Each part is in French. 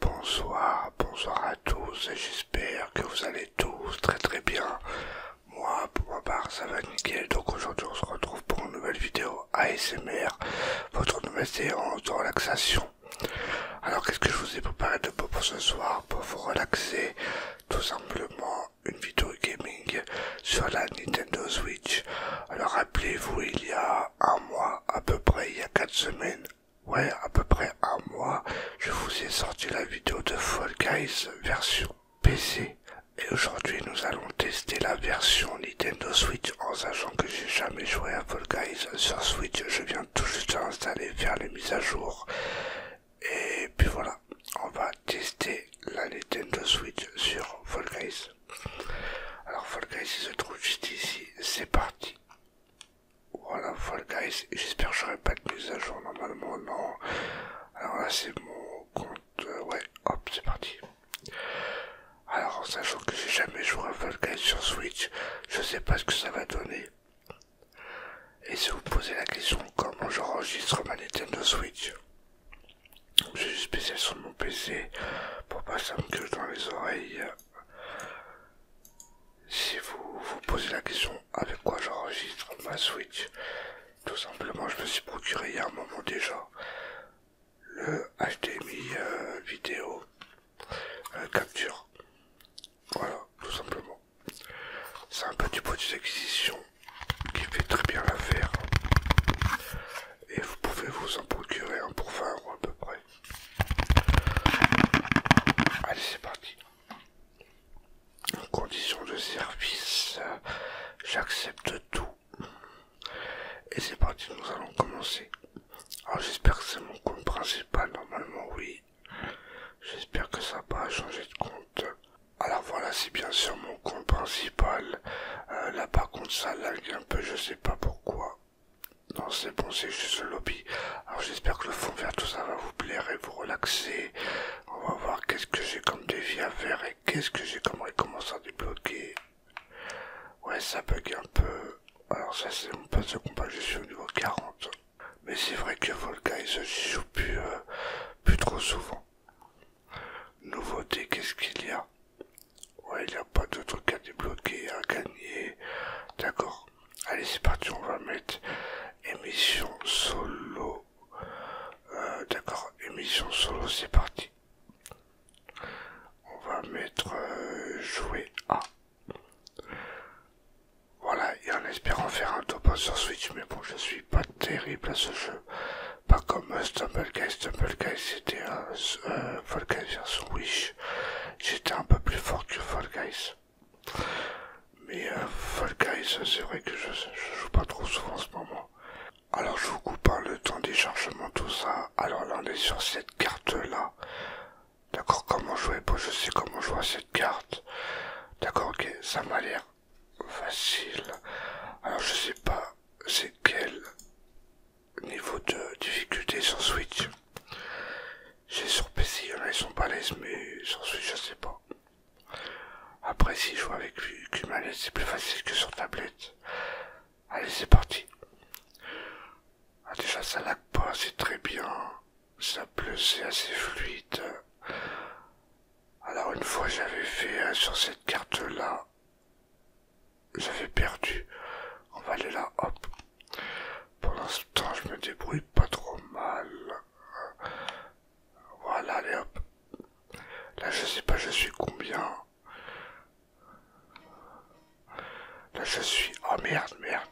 Bonsoir, bonsoir à tous et j'espère que vous allez tous très très bien. Moi pour ma part ça va nickel donc aujourd'hui on se retrouve pour une nouvelle vidéo ASMR, votre nouvelle séance de relaxation. Alors qu'est-ce que je vous ai préparé de beau pour ce soir pour vous relaxer Tout simplement une vidéo gaming sur la Nintendo Switch. Alors rappelez-vous il y a un mois à peu près, il y a 4 semaines, ouais, à peu près un mois, je vous ai sorti la vidéo de Fall Guys version PC. Et aujourd'hui, nous allons tester la version Nintendo Switch en sachant que j'ai jamais joué à Fall Guys sur Switch. Je viens tout juste d'installer, faire les mises à jour. Et puis voilà, on va tester la Nintendo Switch sur Fall Guys. Alors Fall Guys se trouve juste ici, c'est parti. Voilà, Fall Guys. J'espère que n'aurai pas de mise à jour normalement, non. Alors là, c'est mon compte. Euh, ouais, hop, c'est parti. Alors, en sachant que j'ai jamais joué à Fall Guys sur Switch, je sais pas ce que ça va donner. Et si vous posez la question comment j'enregistre ma Nintendo Switch, j'ai juste spécial sur mon PC pour pas ça me gueule dans les oreilles si vous vous posez la question avec quoi j'enregistre ma Switch, tout simplement je me suis procuré il y a un moment déjà le HDMI euh, vidéo euh, capture. Voilà, tout simplement. C'est un petit produit d'acquisition qui fait très bien l'affaire. Et vous pouvez vous en procurer un pour 20 euros à peu près. Allez, c'est parti. Conditions de service, euh, j'accepte tout. Et c'est parti, nous allons commencer. Alors j'espère que c'est mon compte principal, normalement oui. J'espère que ça va, pas changé de compte. Alors voilà, c'est bien sûr mon compte principal. Euh, là par contre ça lag un peu, je sais pas pourquoi. Non, c'est bon, c'est juste le lobby. Alors j'espère que le fond vert, tout ça va vous plaire et vous relaxer. On va voir qu'est-ce que j'ai comme défi à faire et qu'est-ce que j'ai comme récompense à débloquer. Ouais, ça bug un peu. Alors ça, c'est mon passe de combat, je suis au niveau 40. Mais c'est vrai que il se joue euh, plus trop souvent. Nouveauté, qu'est-ce qu'il y a Ouais, il n'y a pas de truc à débloquer, à gagner. D'accord. Allez, c'est parti, on va mettre émission solo. Euh, d'accord, émission solo, c'est parti. On va mettre euh, jouer à. Voilà, et en espérant faire un top sur Switch, mais bon, je suis pas terrible à ce jeu. Pas comme Stumble Guys j'étais un peu plus fort que Fall Guys. Mais euh, Guys, c'est vrai que je, ne joue pas trop souvent en ce moment. Alors je vous coupe hein, le temps des chargements, tout ça. Alors là on est sur cette carte là. D'accord, comment jouer Bon, je sais comment jouer à cette carte. D'accord, ok, ça m'a l'air facile. Alors je sais pas c'est quelle niveau de difficulté sur Switch. J'ai sur PC, il y en a, ils sont mais sur Switch, je sais pas. Après, si je joue avec une manette, c'est plus facile que sur tablette. Allez, c'est parti. Ah, déjà, ça lag pas, c'est très bien. Ça pleut, c'est assez fluide. Alors, une fois, j'avais fait sur cette carte-là j'avais perdu. On va aller là, hop. pendant ce temps je me débrouille pas trop mal. Voilà, allez hop. Là, je sais pas, je suis combien. Là, je suis. Oh merde, merde.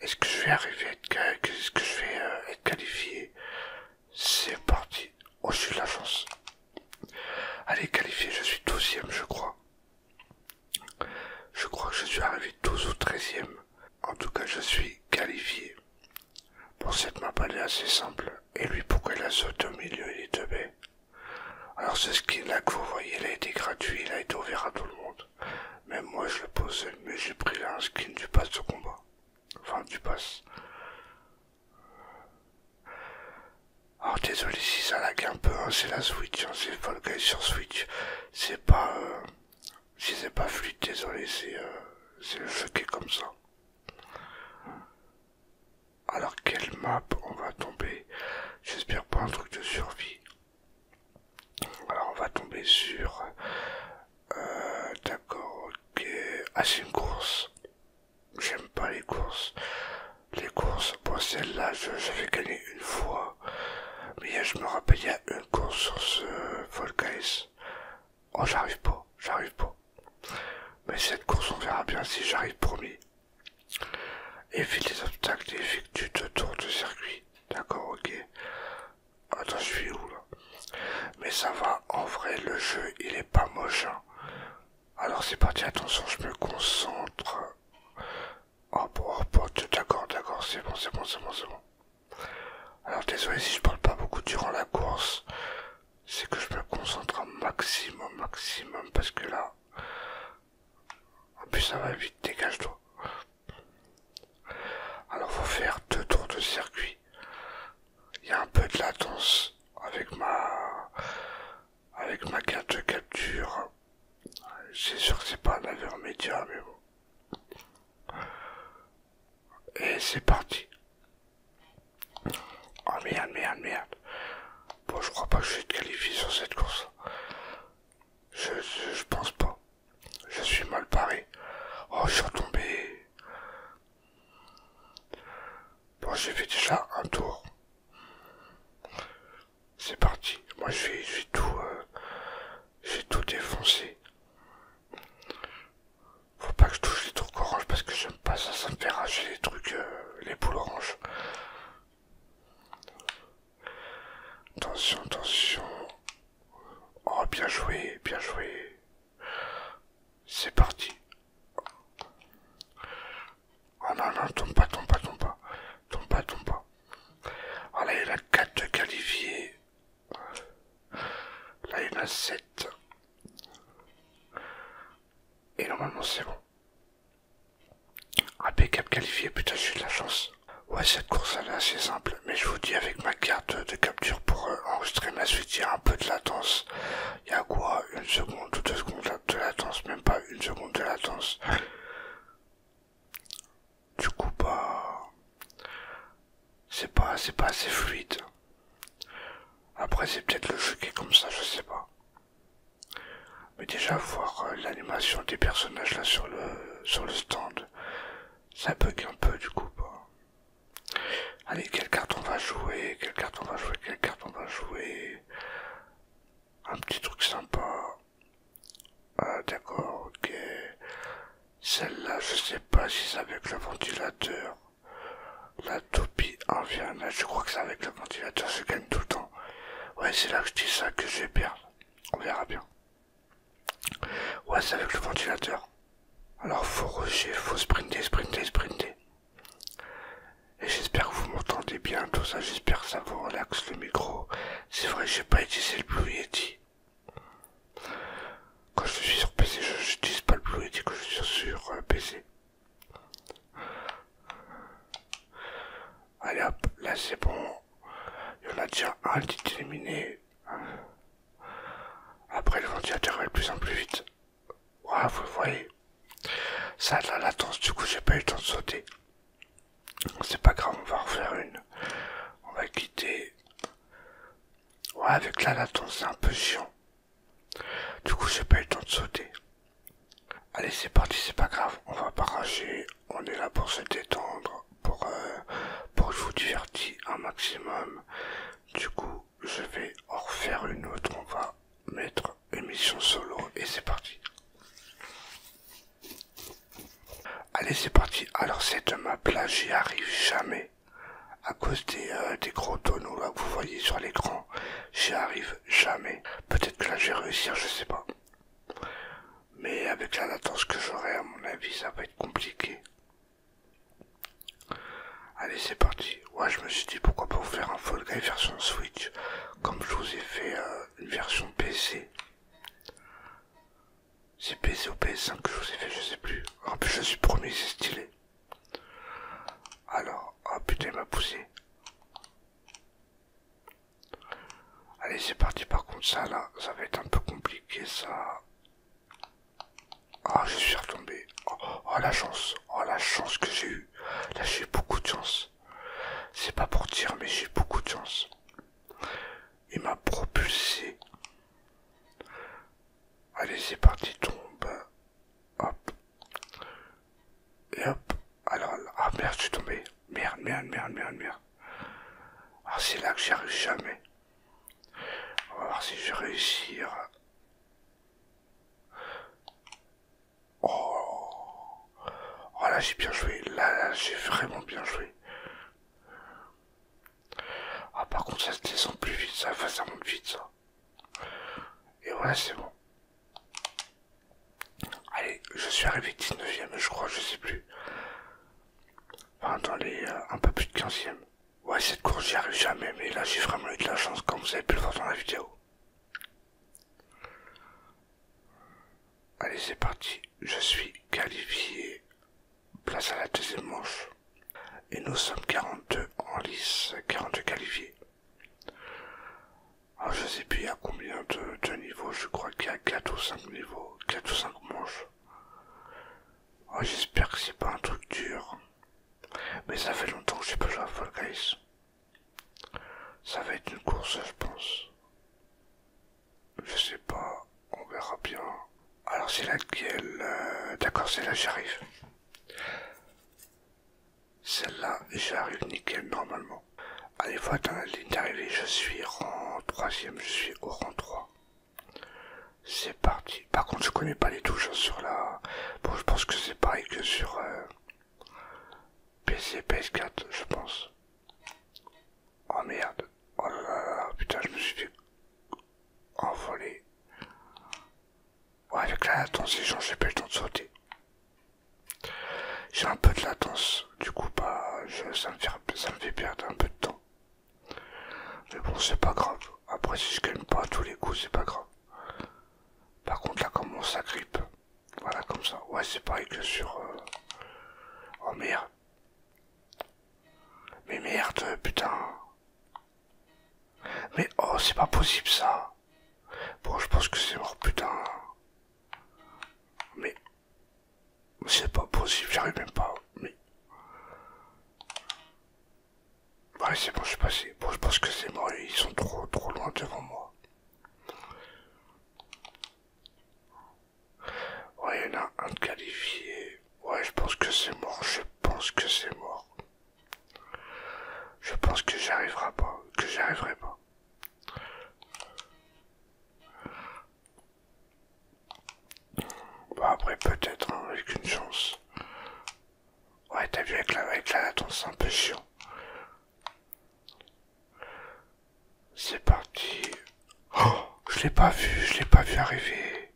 Est-ce que je vais arriver à être, ce que je vais euh, être qualifié C'est parti. Oh, je suis la chance. Allez, qualifié, je suis 12 je crois. Je crois que je suis arrivé 12 ou 13e. En tout cas, je suis qualifié. Pour cette map, elle est assez simple. Et lui, pourquoi il a sauté au milieu il est deux Alors, ce skin-là que vous voyez, il a été gratuit, il a été ouvert à tout le monde. Même moi, je le posais, mais j'ai pris un skin du pass de combat. Enfin, du pass. Alors oh, désolé si ça lag un peu, hein, c'est la Switch, hein, c'est c'est le sur Switch, c'est pas... Euh, si c'est pas fluide, désolé, euh, c'est le jeu qui est comme ça. Alors quelle map on va tomber J'espère pas un truc de survie. Alors on va tomber sur... Euh, d'accord, ok... Ah c'est une course. J'aime pas les courses les courses. Bon, celle-là, j'avais gagné une fois. Mais je me rappelle, il y a une course sur ce Fall Oh, j'arrive pas, j'arrive pas. Mais cette course, on verra bien si j'arrive, promis. Évite les obstacles et tu te tournes de circuit. D'accord, ok. Attends, je suis où là Mais ça va, en vrai, le jeu, il est pas moche. Hein. Alors c'est parti, attention, je me concentre. Oh, oh bon, d'accord, d'accord, c'est bon, c'est bon, c'est bon, c'est bon. Alors désolé si je parle pas beaucoup durant la course, c'est que je me concentre un maximum, maximum, parce que là... En plus ça va vite, dégage-toi. Alors faut faire deux tours de circuit. Il y a un peu de latence avec ma avec ma carte de capture. C'est sûr que c'est pas un avion média, mais bon. Et c'est parti. Oh merde, merde, merde. Bon, je crois pas que je vais être qualifié sur cette course. Je, je pense pas. Je suis mal paré. Oh, je suis retombé. Bon, j'ai fait déjà un tour. C'est parti. Moi, je tout, euh, tout défoncer. Faut pas que je touche les trucs orange parce que j'aime pas ça, ça me fait rager les trucs, euh, les boules oranges. Attention, attention. Oh, bien joué, bien joué. C'est parti. Oh non, non, tombe pas, tombe pas, tombe pas. Tombe pas, tombe pas. Ah, là, il y en a 4 qualifiés. Là, il y en a 7. Et normalement, c'est bon. Impeccable ah, qualifié, putain, j'ai de la chance. Ouais, cette course, elle est assez simple. Mais je vous dis, avec ma carte de capture pour euh, enregistrer ma suite, il y a un peu de latence. Il y a quoi Une seconde ou deux secondes de latence, même pas une seconde de latence. Du coup, bah, c'est pas, c'est pas assez fluide. Après, c'est peut-être le jeu qui est comme ça, je sais pas. Mais déjà, voir euh, l'animation des personnages là sur le, sur le stand, ça bug un peu du coup. pas bah. Allez, quelle carte on va jouer Quelle carte on va jouer Quelle carte on va jouer un petit truc sympa. Ah d'accord, ok. Celle-là, je sais pas si c'est avec le ventilateur. La toupie en vient je crois que c'est avec le ventilateur, je gagne tout le temps. Ouais, c'est là que je dis ça que je vais perdre. On verra bien. Ouais, c'est avec le ventilateur. Alors, faut rusher, faut sprinter, sprinter, sprinter. Et j'espère que vous m'entendez bien, tout ça, j'espère que ça vous relaxe le micro. C'est vrai, j'ai pas utilisé le Blue Yeti. Quand je suis sur PC, je n'utilise pas le Blue Yeti quand je suis sur euh, PC. Allez hop, là c'est bon. Il y en a déjà un qui éliminé. Après le ventilateur va de plus en plus vite. Waouh vous voyez. Ça de la latence, du coup j'ai pas eu le temps de sauter. C'est pas grave, on va en refaire une. On va quitter. Ouais, avec la latence, c'est un peu chiant. Du coup, j'ai pas eu le temps de sauter. Allez, c'est parti, c'est pas grave. On va pas On est là pour se détendre, pour, euh, pour vous divertir un maximum. Du coup, je vais en refaire une autre. On va mettre Émission solo et c'est parti. Allez c'est parti, alors cette ma là j'y arrive jamais. À cause des, euh, des gros tonneaux là que vous voyez sur l'écran, j'y arrive jamais. Peut-être que là j'ai réussi je sais pas. Mais avec la latence que j'aurai à mon avis ça va être compliqué. Allez c'est parti. Ouais je me suis dit pourquoi pas vous faire un Fall Guy version Switch comme je vous ai fait euh, une version PC. C'est PC ou PS5 que je vous ai fait, je sais plus. En plus, je suis premier, c'est stylé. Alors, oh putain, il m'a poussé. Allez, c'est parti. Par contre, ça là, ça va être un peu compliqué. Ça. Ah, je suis retombé. oh, oh la chance. Oh la chance que j'ai eu Là, j'ai eu beaucoup de chance. C'est pas pour dire, mais j'ai beaucoup de chance. Il m'a propulsé. Allez, c'est parti, tombe. Hop. Et hop. Alors, ah merde, je suis tombé. Merde, merde, merde, merde, merde. Ah, c'est là que j'arrive jamais. On va voir si je vais réussir. Oh. oh, là j'ai bien joué, là, j'ai vraiment bien joué. Ah par contre ça se descend plus vite, ça, va ça monte vite ça. Et ouais c'est bon. Allez, je suis arrivé 19ème je crois, je sais plus. Enfin dans les... Euh, un peu plus de 15ème. Ouais cette course j'y arrive jamais mais là j'ai vraiment eu de la chance comme vous avez pu le voir dans la vidéo. Allez, c'est parti. Je suis qualifié. Place à la deuxième manche. Et nous sommes 42 en lice, 42 qualifiés. Je ah, je sais plus à combien de, niveaux, je crois qu'il y a 4 ou 5 niveaux, 4 ou 5 manches. Ah, j'espère que c'est pas un truc dur. Mais ça fait longtemps que j'ai pas joué à Fall Guys. Ça va être une course, je pense. Je sais pas, on verra bien. Alors c'est laquelle euh, D'accord, c'est là j'arrive. Celle-là, j'arrive nickel normalement. Allez, faut dans la ligne d'arrivée. Je suis rang 3 je suis au rang 3. C'est parti. Par contre, je connais pas les touches hein, sur la... Bon, je pense que c'est pareil que sur... Euh, PC, PS4, je pense. Oh merde. Oh là là putain, je me suis fait envoler. Ouais, avec la latence, les gens, j'ai pas le temps de sauter. J'ai un peu de latence, du coup, bah, ça, me fait, ça me fait perdre un peu de temps. Mais bon, c'est pas grave. Après, si je calme pas à tous les coups, c'est pas grave. Par contre, là, comment ça grippe voilà, comme ça. Ouais, c'est pareil que sur... Oh euh, merde. Mais merde, putain. Mais oh, c'est pas possible ça. Bon, je pense que c'est mort, putain. Mais... C'est pas possible, j'arrive même pas. Mais... Ouais, c'est bon, je suis passé. Bon, je pense que c'est mort, ils sont trop, trop loin devant moi. Ouais, il y en a un qualifié. Ouais, je pense que c'est mort. Je pense que c'est mort. Je pense que j'y arriverai pas. Que j'arriverai pas. Bah après peut-être hein, avec une chance. Ouais t'as vu avec la avec la latence un peu chiant. C'est parti. Oh, je l'ai pas vu, je l'ai pas vu arriver.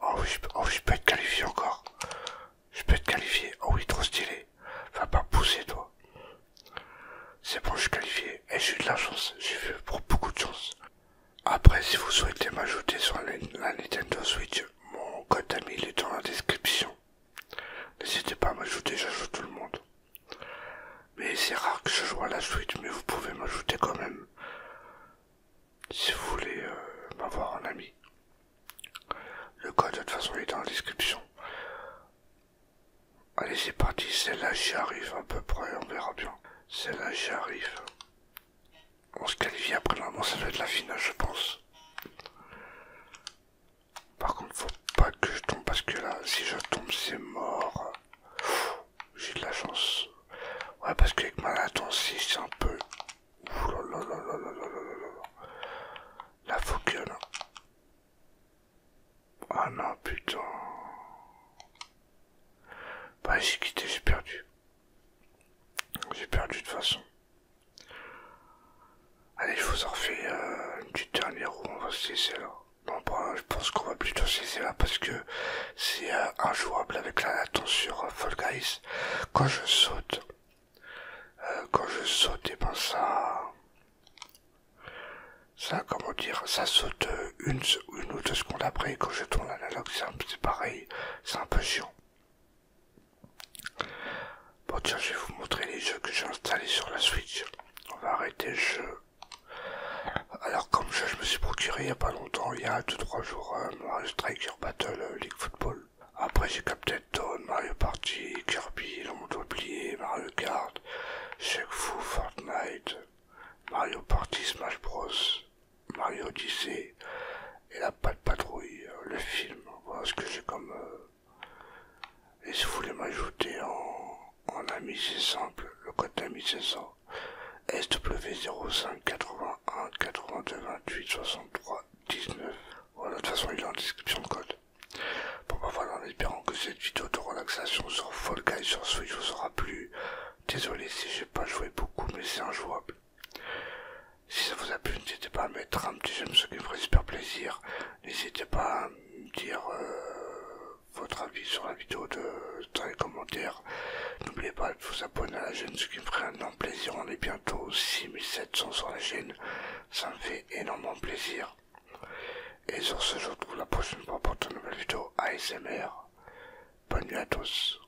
Oh oui, je, oh, je peux être qualifié encore. Je peux être qualifié. Oh oui, trop stylé. Va pas pousser, toi. C'est bon, je suis qualifié. Et j'ai eu de la chance. J'ai vu pour beaucoup de chance. Après, si vous souhaitez m'ajouter sur la Nintendo Switch, mon code ami il est dans la description. N'hésitez pas à m'ajouter, j'ajoute tout le monde. Mais c'est rare que je joue à la suite, mais vous pouvez m'ajouter quand même. Si vous voulez euh, m'avoir en ami. Le code de toute façon il est dans la description. Allez c'est parti, celle-là j'y arrive à peu près, on verra bien. Celle-là j'y arrive on se qualifie après normalement ça doit être la finale je pense. Par contre faut pas que je tombe parce que là si je tombe c'est mort. J'ai de la chance. Ouais parce qu'avec ma latence c'est un peu. La faut Ah non putain. Bah j'ai quitté, j'ai perdu. J'ai perdu de toute façon. Allez, je vous en refais du euh, dernier petite dernière on va se laisser là. Bon, je pense qu'on va plutôt se laisser là parce que c'est euh, injouable avec la tension sur euh, Fall Guys. Quand je saute, quand je saute, et eh ben ça. Ça, comment dire, ça saute une, une ou deux secondes après. quand je tourne l'analogue, c'est pareil, c'est un peu chiant. Bon tiens, je vais vous montrer les jeux que j'ai installés sur la Switch. On va arrêter le jeu. Alors comme je me suis procuré il n'y a pas longtemps, il y a 2-3 jours, hein, Mario Striker Battle euh, League Football. Après j'ai Captain Toad, Mario Party, Kirby, le oublié, Mario Kart, Shake Fu, Fortnite, Mario Party, Smash Bros, Mario Odyssey, et la de patrouille, euh, le film. Voilà ce que j'ai comme. Euh, et si vous voulez m'ajouter en, ami, c'est simple. Le code ami, c'est ça. SW05 Voilà, de toute façon, il est en description de code. Bon, bah voilà, en espérant que cette vidéo de relaxation sur Fall et sur Switch vous aura plu. Désolé si j'ai pas joué beaucoup, mais c'est injouable. Si ça vous a plu, n'hésitez pas à mettre un petit j'aime, ce qui me ferait super plaisir. N'hésitez pas à me dire euh, votre avis sur la vidéo de, dans les commentaires. N'oubliez pas de vous abonner à la chaîne, ce qui me ferait un énorme plaisir. On est bientôt 6700 sur la chaîne. Ça me fait énormément plaisir. Et sur ce, je vous retrouve la prochaine fois pour une nouvelle vidéo ASMR. Bonne nuit à tous.